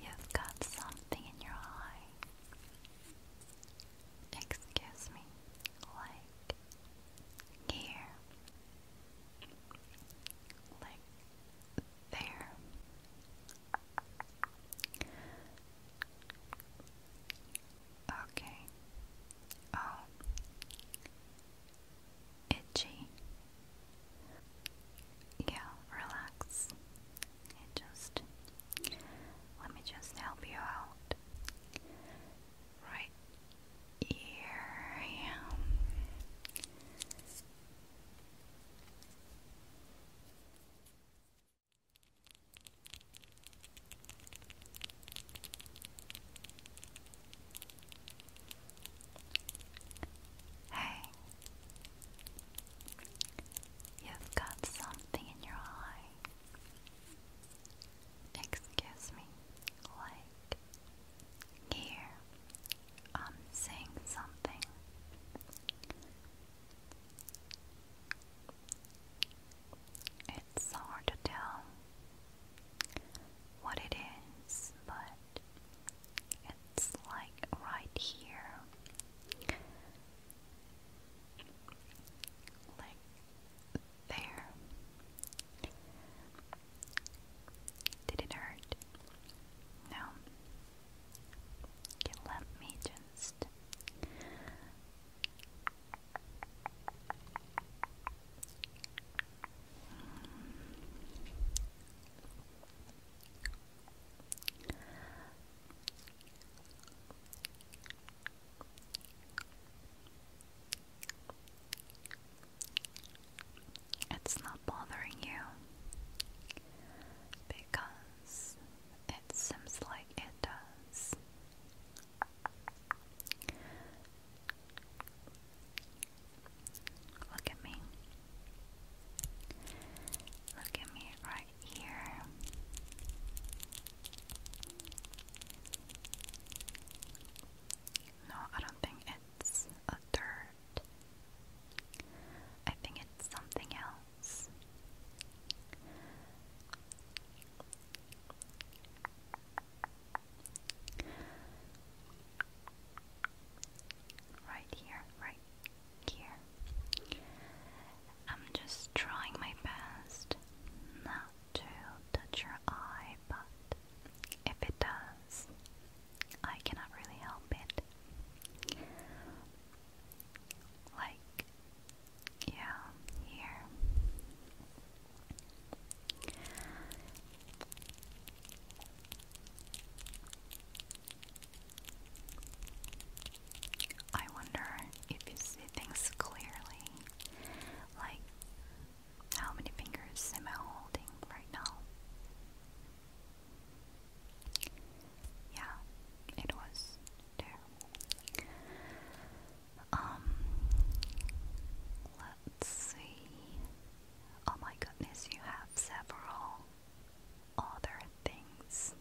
You've got something in your eye. Excuse me, like here, like there. Okay. Oh, itchy. Yeah, relax let me just help you out. Right here Hey, You've got something in your eye. Excuse me, like here, I'm seeing something. It's hard to tell what it is, but it's like right here. Like there. Did it hurt? No. Okay, let me just. It's not bothering you because it seems like it does. Look at me. Look at me right here. No, I don't think it's dirt. I think it's something else. Right here, right here. I'm just trying my best not to touch your eye, but if it does, I cannot really help it. Like, yeah, here. I wonder if you see things clearly. Like, how many fingers am holding right now? Yeah, it was Um, let's see. Oh my goodness, you have several other things.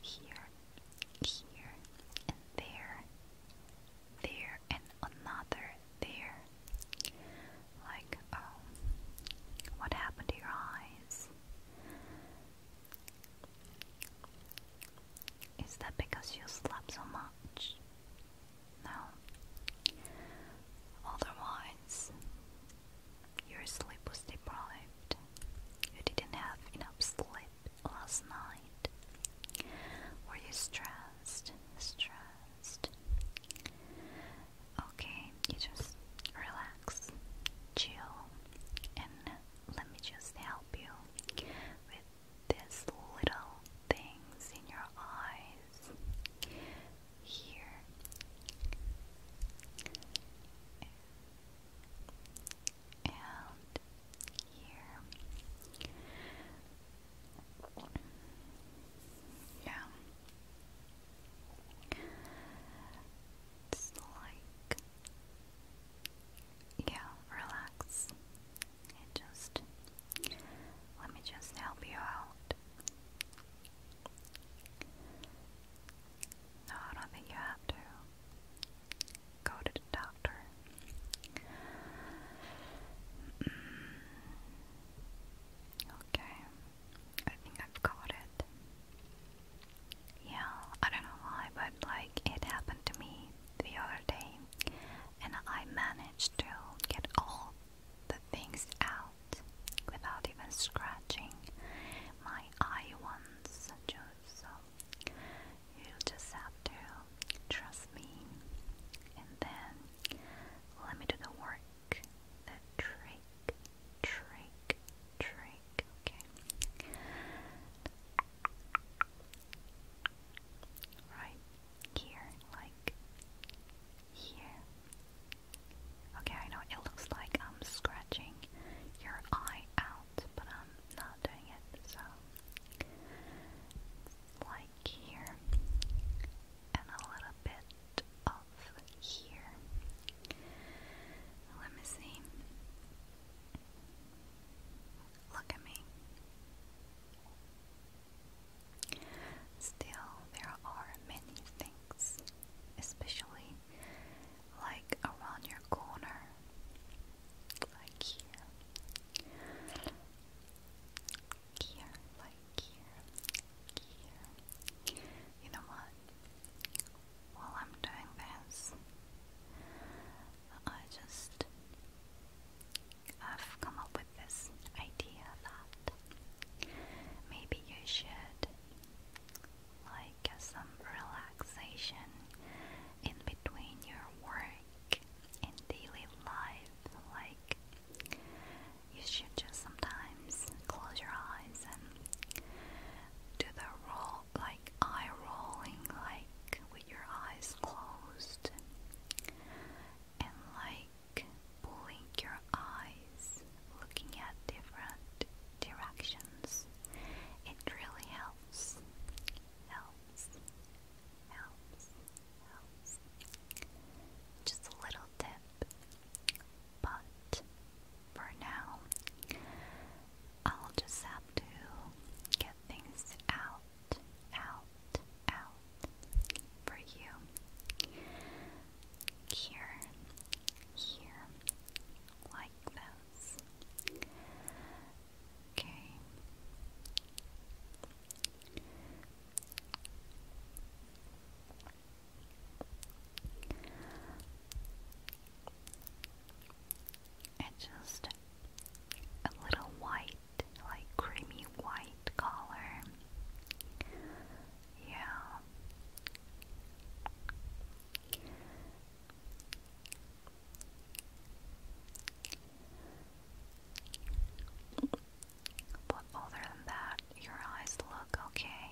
Here, here, and there, there, and another there. Like, um, what happened to your eyes? Is that because you slept so much? No. Otherwise, your sleep was deprived. You didn't have enough sleep last night. Were you stressed? Stressed? Okay, you just relax, chill, and let me just help you with these little things in your eyes is here. And here. Yeah. It's like, yeah, relax let me just help you out. No, I don't think you have to go to the doctor. Mm. okay, I think I've got it. Yeah, I don't know why, but like it happened to me the other day, and I managed to get all the things out without even scratching my eye once. Just, so you just have to trust me and then let me do the work. The trick, trick, trick. Okay. Right here, like here. Okay, I know it looks like I'm scratching your eye out, but I'm not doing it, so like here and a little bit of here. Let me see. Look at me. Still, there are many things, especially like around your corner, like here, here, like here, here. You know what? While I'm doing this, I just I've come up with this idea that maybe you should like some relaxation in between your work and daily life. Like you should just sometimes close your eyes and do the roll like eye rolling like with your eyes closed and like blink your eyes looking at different directions. It really helps. Helps. Helps. Helps. Just a little tip. But for now, I'll just have to get things out out, out for you. Here, here, like those. Okay. And just a little white like creamy white color. Yeah. But other than that, your eyes look okay.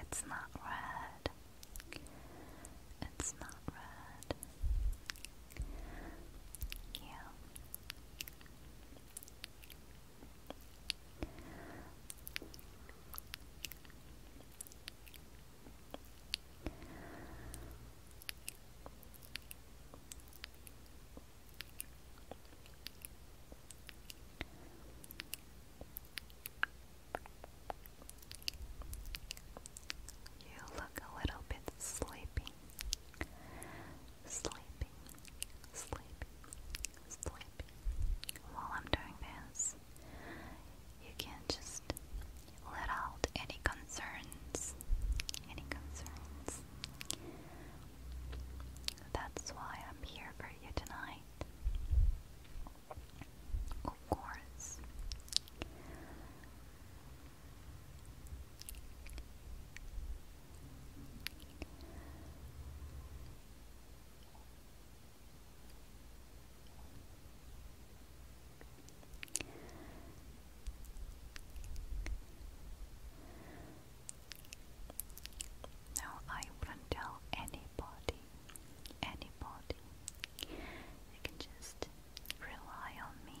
It's not red. It's not red. Yeah. You look a little bit sleepy. Sleepy, sleepy, sleepy. While I'm doing this, you can just let out any concerns. Any concerns. That's why I'm here for you tonight. Of course. No, I wouldn't tell anybody. Anybody. You can just rely on me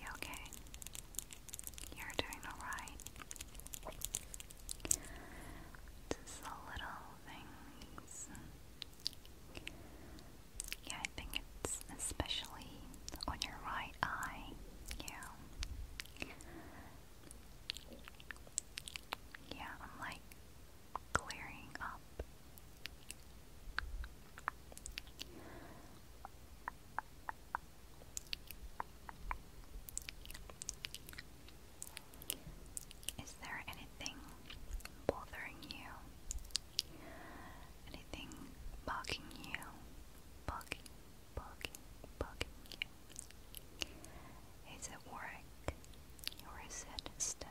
You okay? You're doing alright. Just the little things. Yeah, I think it's especially on your right eye. Yeah. Yeah, I'm like clearing up. Is there anything bothering you? Anything bugging you? Bugging, bugging, bugging Is it work or is it study?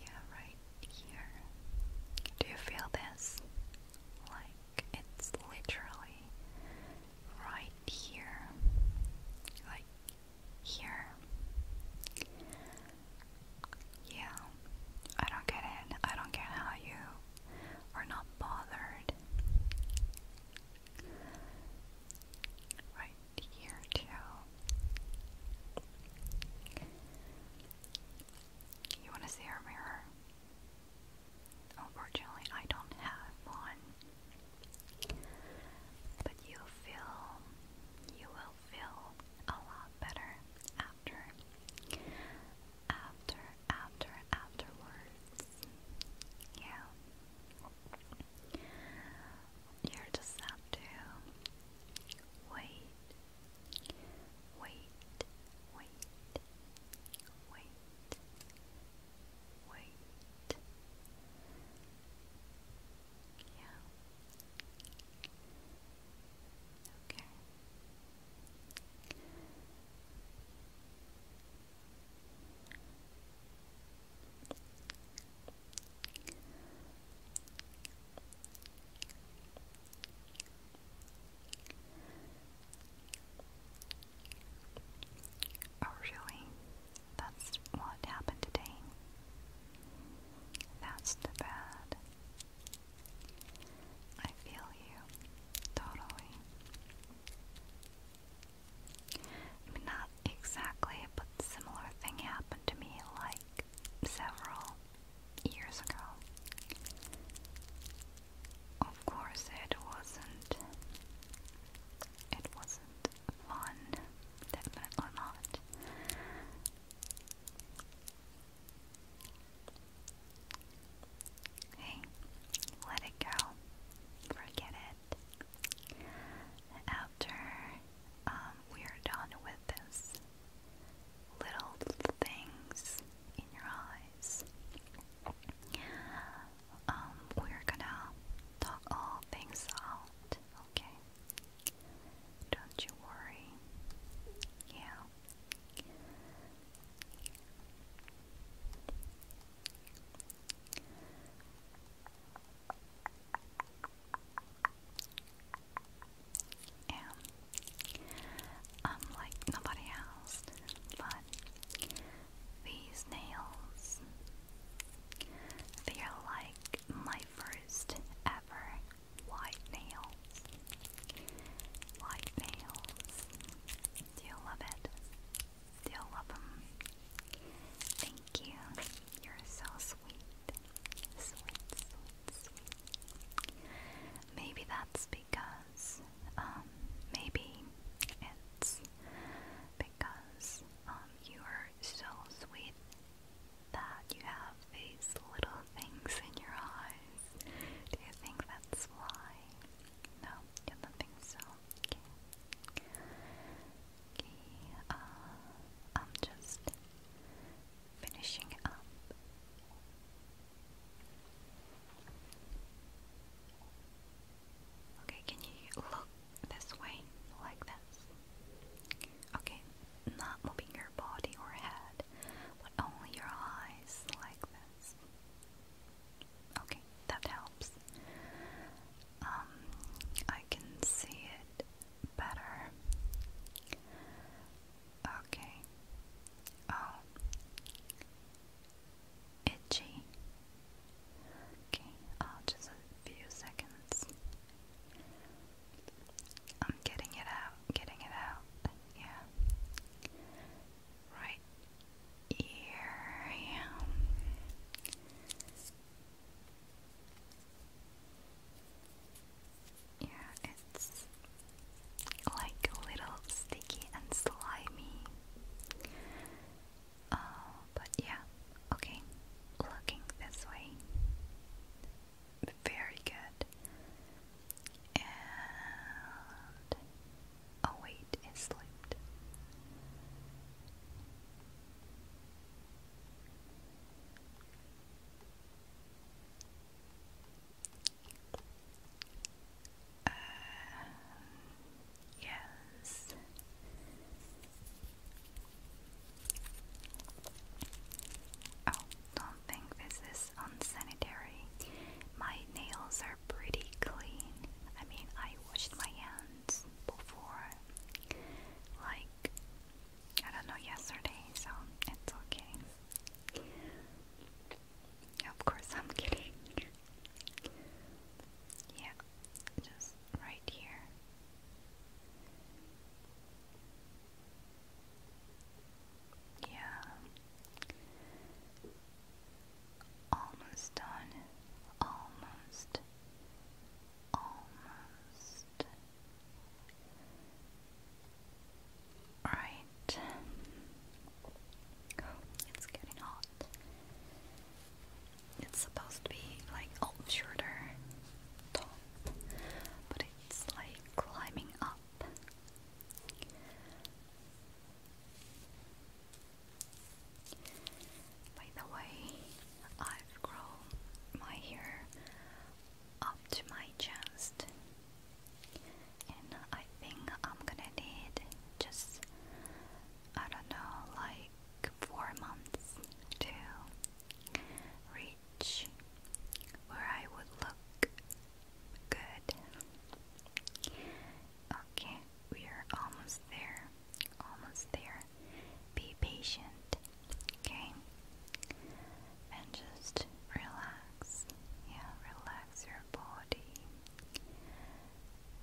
Yeah, right here. Do you feel this? Like it's literally right here. Like here. Yeah, I don't get it. I don't get how you are not bothered. Right here, too. You want to see our mirror? Unfortunately, I don't have one. But you feel, you will feel a lot better after, after, after, afterwards. Yeah. You just have to wait Wait, wait, wait, wait. Yeah. Okay. Okay. Oh, really? That's what happened today? That's too bad. I feel you. Totally. not exactly, but similar thing happened to me like several years ago. Of course, it wasn't. It wasn't fun, definitely not. Hey, let it go. Forget it. After um, we are done with this little things in your eyes. Um, we're gonna talk all things out, okay? Don't you worry. Yeah am unlike nobody else, but these nails, they are like my first ever white nails. White nails. Do you love it? Do you love them? Thank you. You're so sweet. Maybe that's because, um, maybe it's because, um, you are so sweet that you have these little things in your eyes. Do you think that's why? No, you don't think so. Uh, I'm just finishing up. Okay, can you look this way, like this? Okay, not moving your body or head, but only your eyes, like this. Okay, that helps. Um, I can see it better. Okay. Oh. Itchy. Okay, oh, just a few seconds. I'm getting it out, getting it out. Yeah. Right here. Yeah. Yeah, it's like a little sticky and slimy. Oh, but yeah, okay, looking this way. Very good. oh wait, it slipped. Uh, yes. Oh, don't think this is unsanitary. My nails are pretty clean. I mean, I washed my hands before, like I don't know yesterday, so it's okay. Of course, I'm kidding. yeah, just right here. Yeah. Almost done. Almost. Almost. Alright. it's getting hot. It's supposed to be like old shorter but it's like climbing up. By the way, I've my hair up to my chest and I think I'm gonna need just I don't know like four months to reach where I would look good. Okay, we are almost there. Almost there. Be patient. Okay? And just relax. Yeah, relax your body.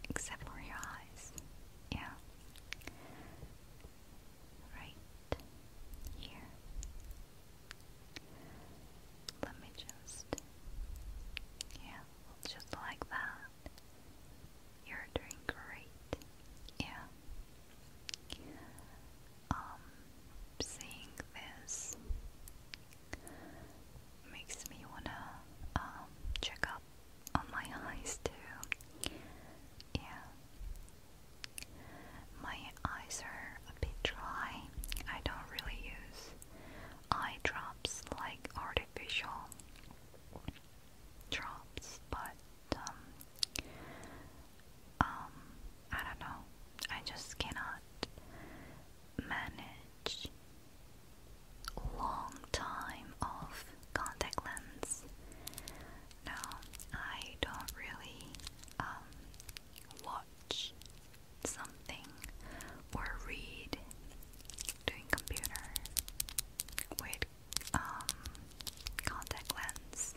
Except for your eyes. Yeah. Right here. Let me just. Yeah, just like that. You're doing great. Yeah. Um, seeing this makes me wanna um, check up on my eyes too. Yeah, my eyes are a bit dry. I don't really use eye drops like artificial drops, but um, um, I don't know. I just cannot manage long time of contact lens. No, I don't really um, watch something or read doing computer with um, contact lens.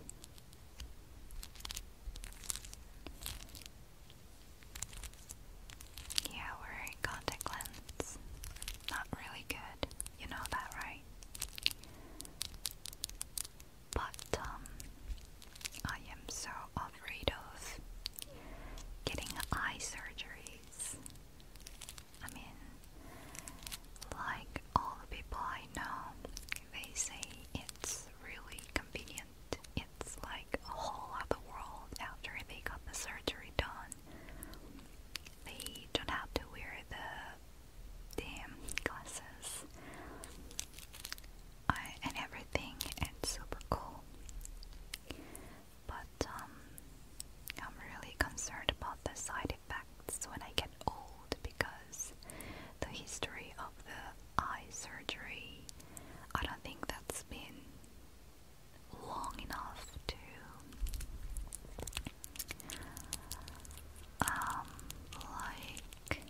Yeah, wearing contact lens. Not really good. You know that, right? But um I am so afraid of getting eye surgeries. I mean, like all the people I know, they say it's really convenient. It's like a whole other world after they got the surgery done. They don't have to wear the damn glasses and everything. It's super cool. But um, I'm really concerned about the side effects when I get old because the history of the eye surgery, I don't think that's been long enough to um, like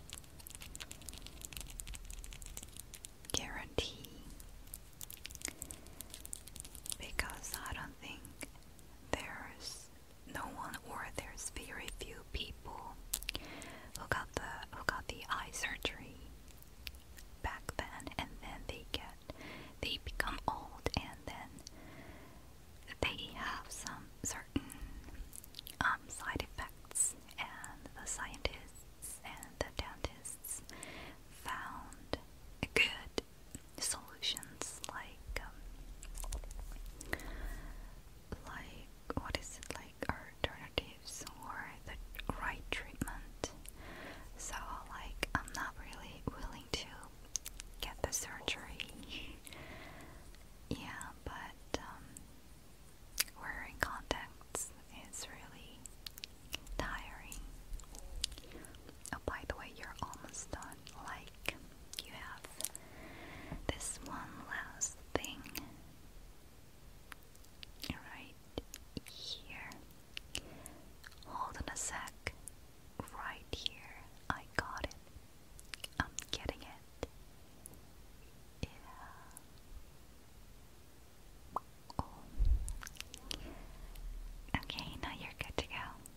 guarantee because I don't think there's no one or there's very few people who got the who got the eye surgery back then and then they get they become old and then they have some certain um, side effects and the scientists and the dentists found good solutions like um, like what is it like alternatives or the right treatment. So like I'm not really willing to get the surgery. yeah, but um, wearing contacts is really tiring. Oh, by the way, you're almost done. Like you have this one last thing right here. Hold on a sec. Right here. I got it. I'm getting it. Yeah. Okay, now you're good to go.